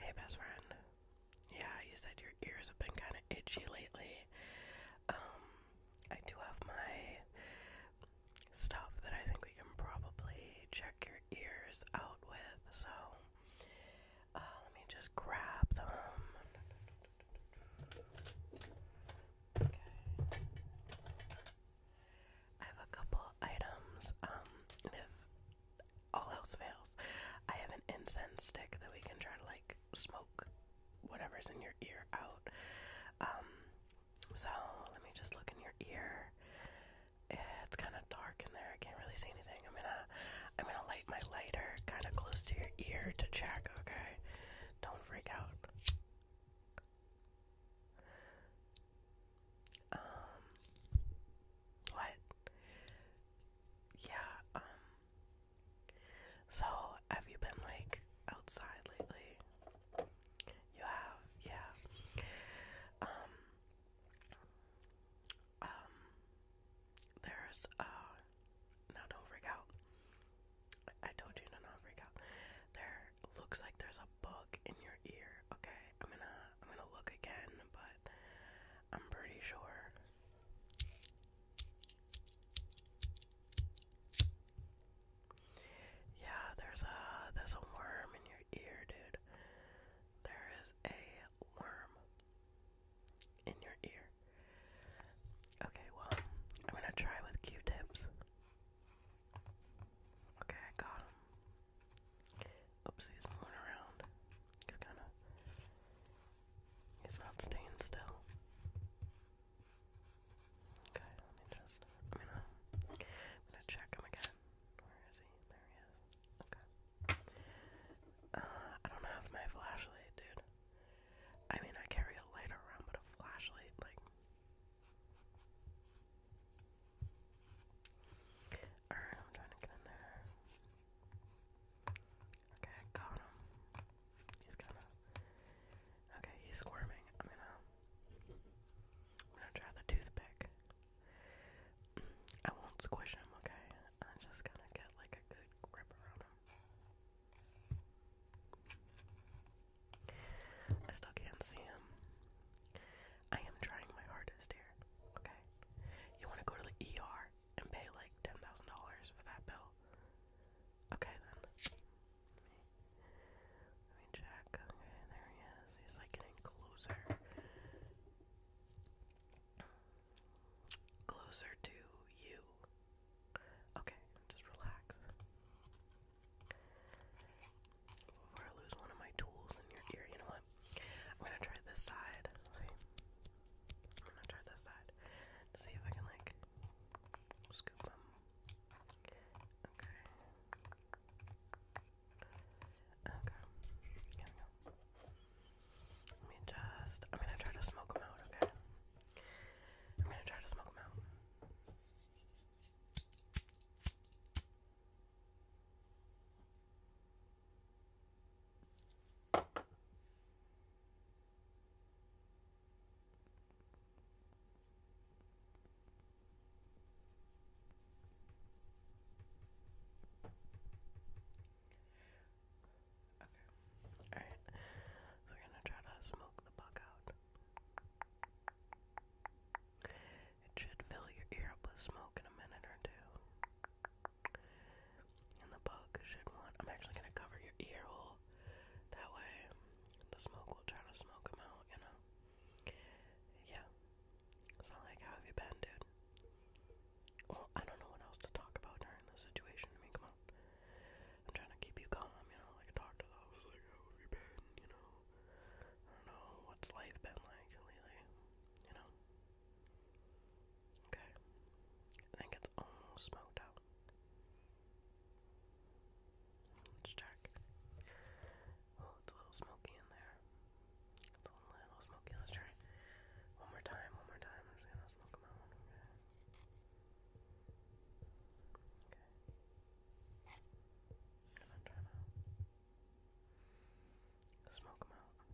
Hey, best friend. Yeah, you said your ears have been kind of itchy lately. Um, I do have my stuff that I think we can probably check your ears out with, so uh, let me just grab them. Okay. I have a couple items. Um, all else fails, I have an incense stick that we can try to like smoke whatever's in your ear out. Um, so let me just look in your ear. It's kind of dark in there. I can't really see anything. I'm gonna, I'm gonna light my lighter kind of close to your ear to check. Okay, don't freak out. Um, what? Yeah, um, so have you been like outside lately? You have, yeah. Um, um, there's, uh, now don't freak out. I told you to not freak out. There looks like there's a bug in your ear. Okay, I'm gonna I'm gonna look again, but I'm pretty sure. Yeah, there's a there's a worm in your ear, dude. There is a worm in your ear. Okay, well, I'm gonna try with Q-tips. Okay, I got him. Oopsie, he's moving around. He's kind of. He's not staying still. Okay, let me just. I mean, I'm gonna check him again. Where is he? There he is. Okay. Uh, I don't have my flashlight, dude. I mean, I carry a light around, but a flashlight, like. Alright, I'm trying to get in there. Okay, I got him. He's gonna. Okay, he's squirming. I'm gonna. I'm gonna try the toothpick. I won't squish him, okay? I'm just gonna get like a good grip around him. I still can't see him. I am trying my hardest here, okay? You want to go to the ER and pay like $10,000 for that bill? Okay, then. Let me, let me check. Okay, there he is. He's like getting closer. Closer to you. Okay, just relax. Before I lose one of my tools in your ear, you know what? I'm gonna try this side. See? I'm gonna try this side to see if I can, like, scoop them. Okay. Okay. Here Let me just. I'm gonna try to smoke them out, okay? I'm gonna try to smoke them out. Okay. Alright. So we're gonna try to smoke the bug out. It should fill your ear up with smoke in a minute or two. And the bug should I'm actually gonna cover your ear hole. That way, the smoke will try to smoke them out, you know? Yeah. So, like, how have you been, dude? Well, I don't know what else to talk about during this situation. I mean, come on. I'm trying to keep you calm, you know, like a doctor. I like, how have you been, you know? I don't know what's life been like lately, you know? Okay. I think it's almost smoked out. Let's check. Oh, it's a little smoky in there. It's a little smoky. Let's try one more time, one more time. I'm just gonna smoke them out. Okay. Okay. Gonna try them out. Smoke them out.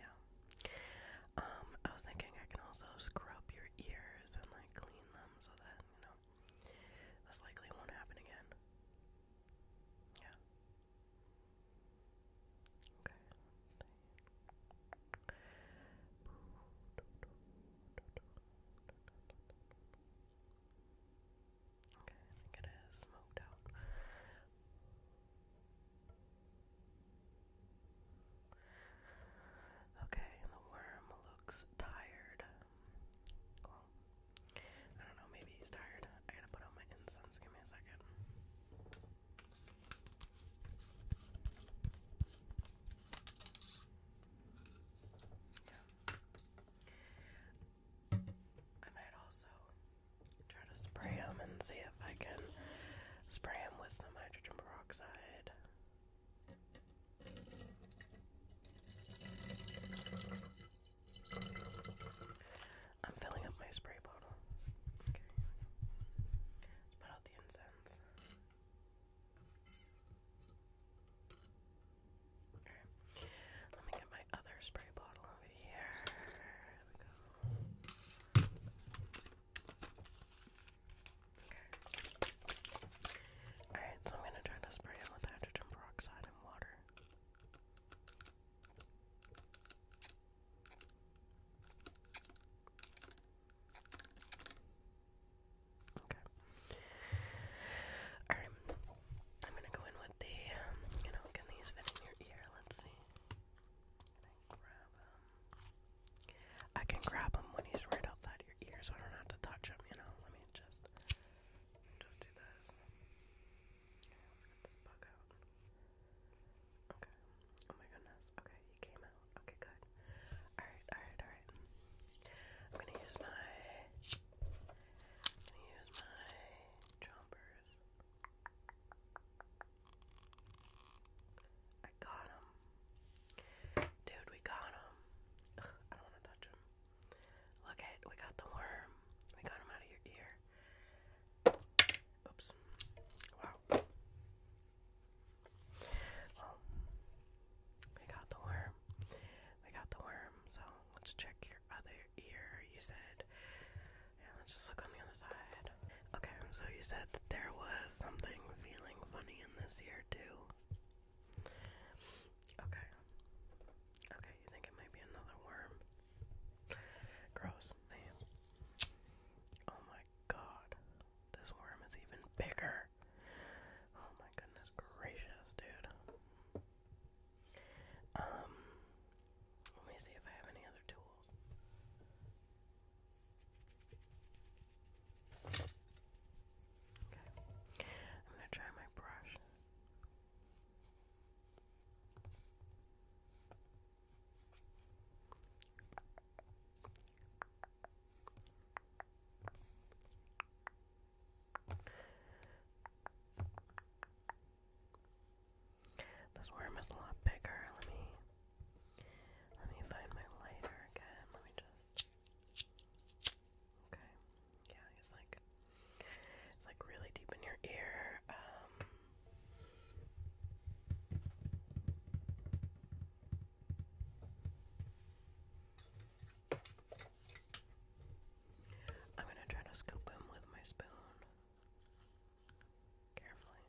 Yeah. Um, I was thinking I can also scrub your ears and like clean them so that, you know, this likely won't happen again. Yeah. Okay. Okay, I think it is smoked out. Okay, the worm looks tired. I don't know, maybe he's tired. I gotta put on my incense, give me a second. I might also try to spray them and see if I can spray them with some hydrogen peroxide. I'm filling up my spray bottle. Okay. Let's put out the incense. Let me get my other spray bottle over here. Okay. Alright, so I'm gonna try to spray it with hydrogen peroxide and water. Okay. Alright. I'm gonna go in with the, um, you know, can these fit in your ear? Let's see. grab them? I can grab him when he's right outside your ear so I don't have to touch him, you know? Let me just, just do this. let's get this bug out. Okay. Oh my goodness. Okay, he came out. Okay, good. Alright, alright, alright. I'm gonna use my gonna use my chompers. I got him. Dude, we got him. I don't want to touch him. Look at we got the worm. We got him out of your ear. Oops. Wow. we got the worm. We got the worm, so let's check your other ear. You said, yeah, let's just look on the other side. Okay, so you said that there was something feeling funny in this ear, too. Okay. Okay, you think it might be another worm? Gross, man. Oh my god. This worm is even bigger. Oh my goodness gracious, dude. Um, let me see if I have any other tools. Okay, I'm gonna try my brush. This worm is a lot bigger. Let me let me find my lighter again. Let me just Okay. Yeah, it's like it's like really deep in your ear. Um I'm gonna try to scoop him with my spoon. Carefully.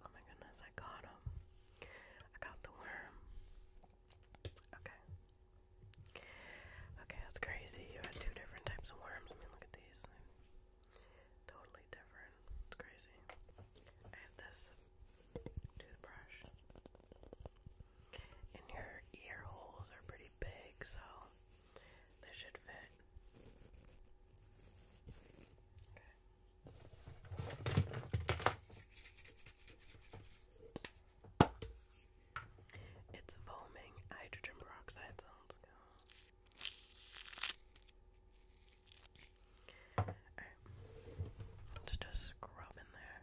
Oh my goodness, I got him. I got the worm. Okay. Okay, that's crazy. You had two different types of worms. I mean, look at these. totally different. It's crazy. I have this toothbrush. And your ear holes are pretty big, so they should fit. Okay. It's foaming hydrogen peroxide, so let's go. let's just scrub in there.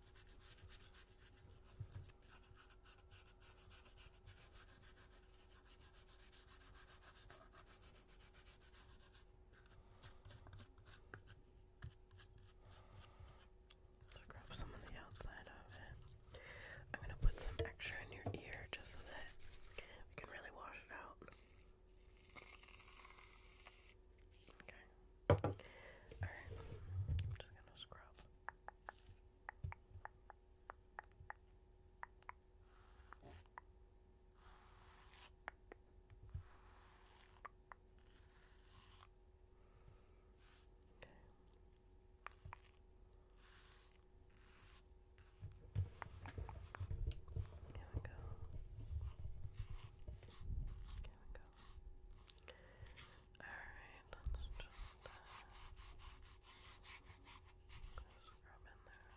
So grab some on the outside of it. I'm gonna put some extra in your ear just so that we can really wash it out. Okay. Alright. I'm just gonna scrub. Okay. Here we go. Here we go. Alright, let's just scrub in there.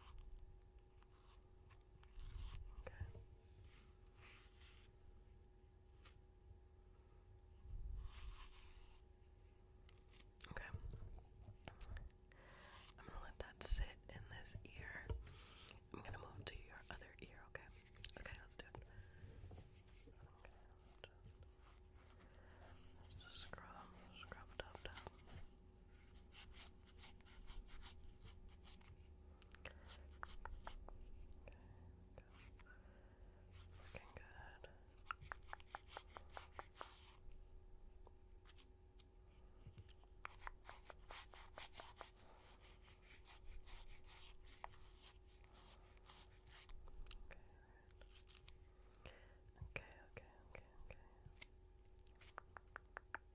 Okay. Okay. I'm gonna let that sit in this ear. I'm gonna move to your other ear, okay? Okay, let's do it. Okay, just, just scrub, scrub it up, down. Okay, go. It's looking good. Okay, okay, okay, okay.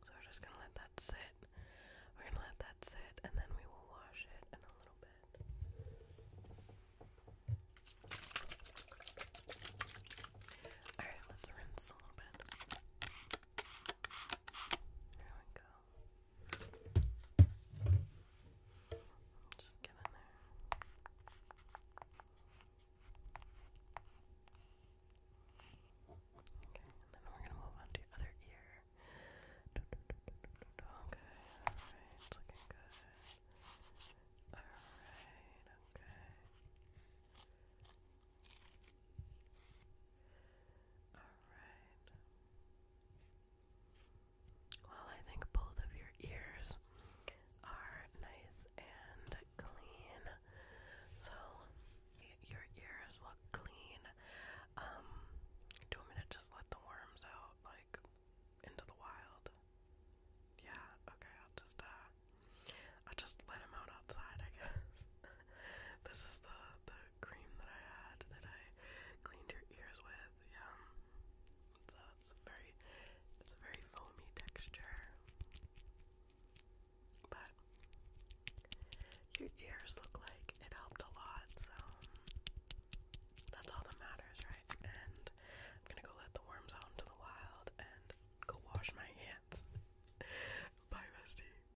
So we're just gonna let that sit. We're gonna let that sit and then we will wash it in a little bit. Alright, let's rinse a little bit. There we go. Just get in there. Okay, then we're gonna move on to your other ear. Okay, alright, looking good. Alright, okay. Well, I think both of your ears are nice and clean. So, your ears look clean. Um, do you want to just let the worms out, like, into the wild? Yeah, okay, i just, uh, i just let them out outside, I guess. this is the, the cream that I had that I cleaned your ears with. Yeah, so it's very, it's a very foamy texture. But your ears look like it helped a lot, so that's all that matters, right? And I'm gonna go let the worms out the wild and go wash my hands. Bye, bestie.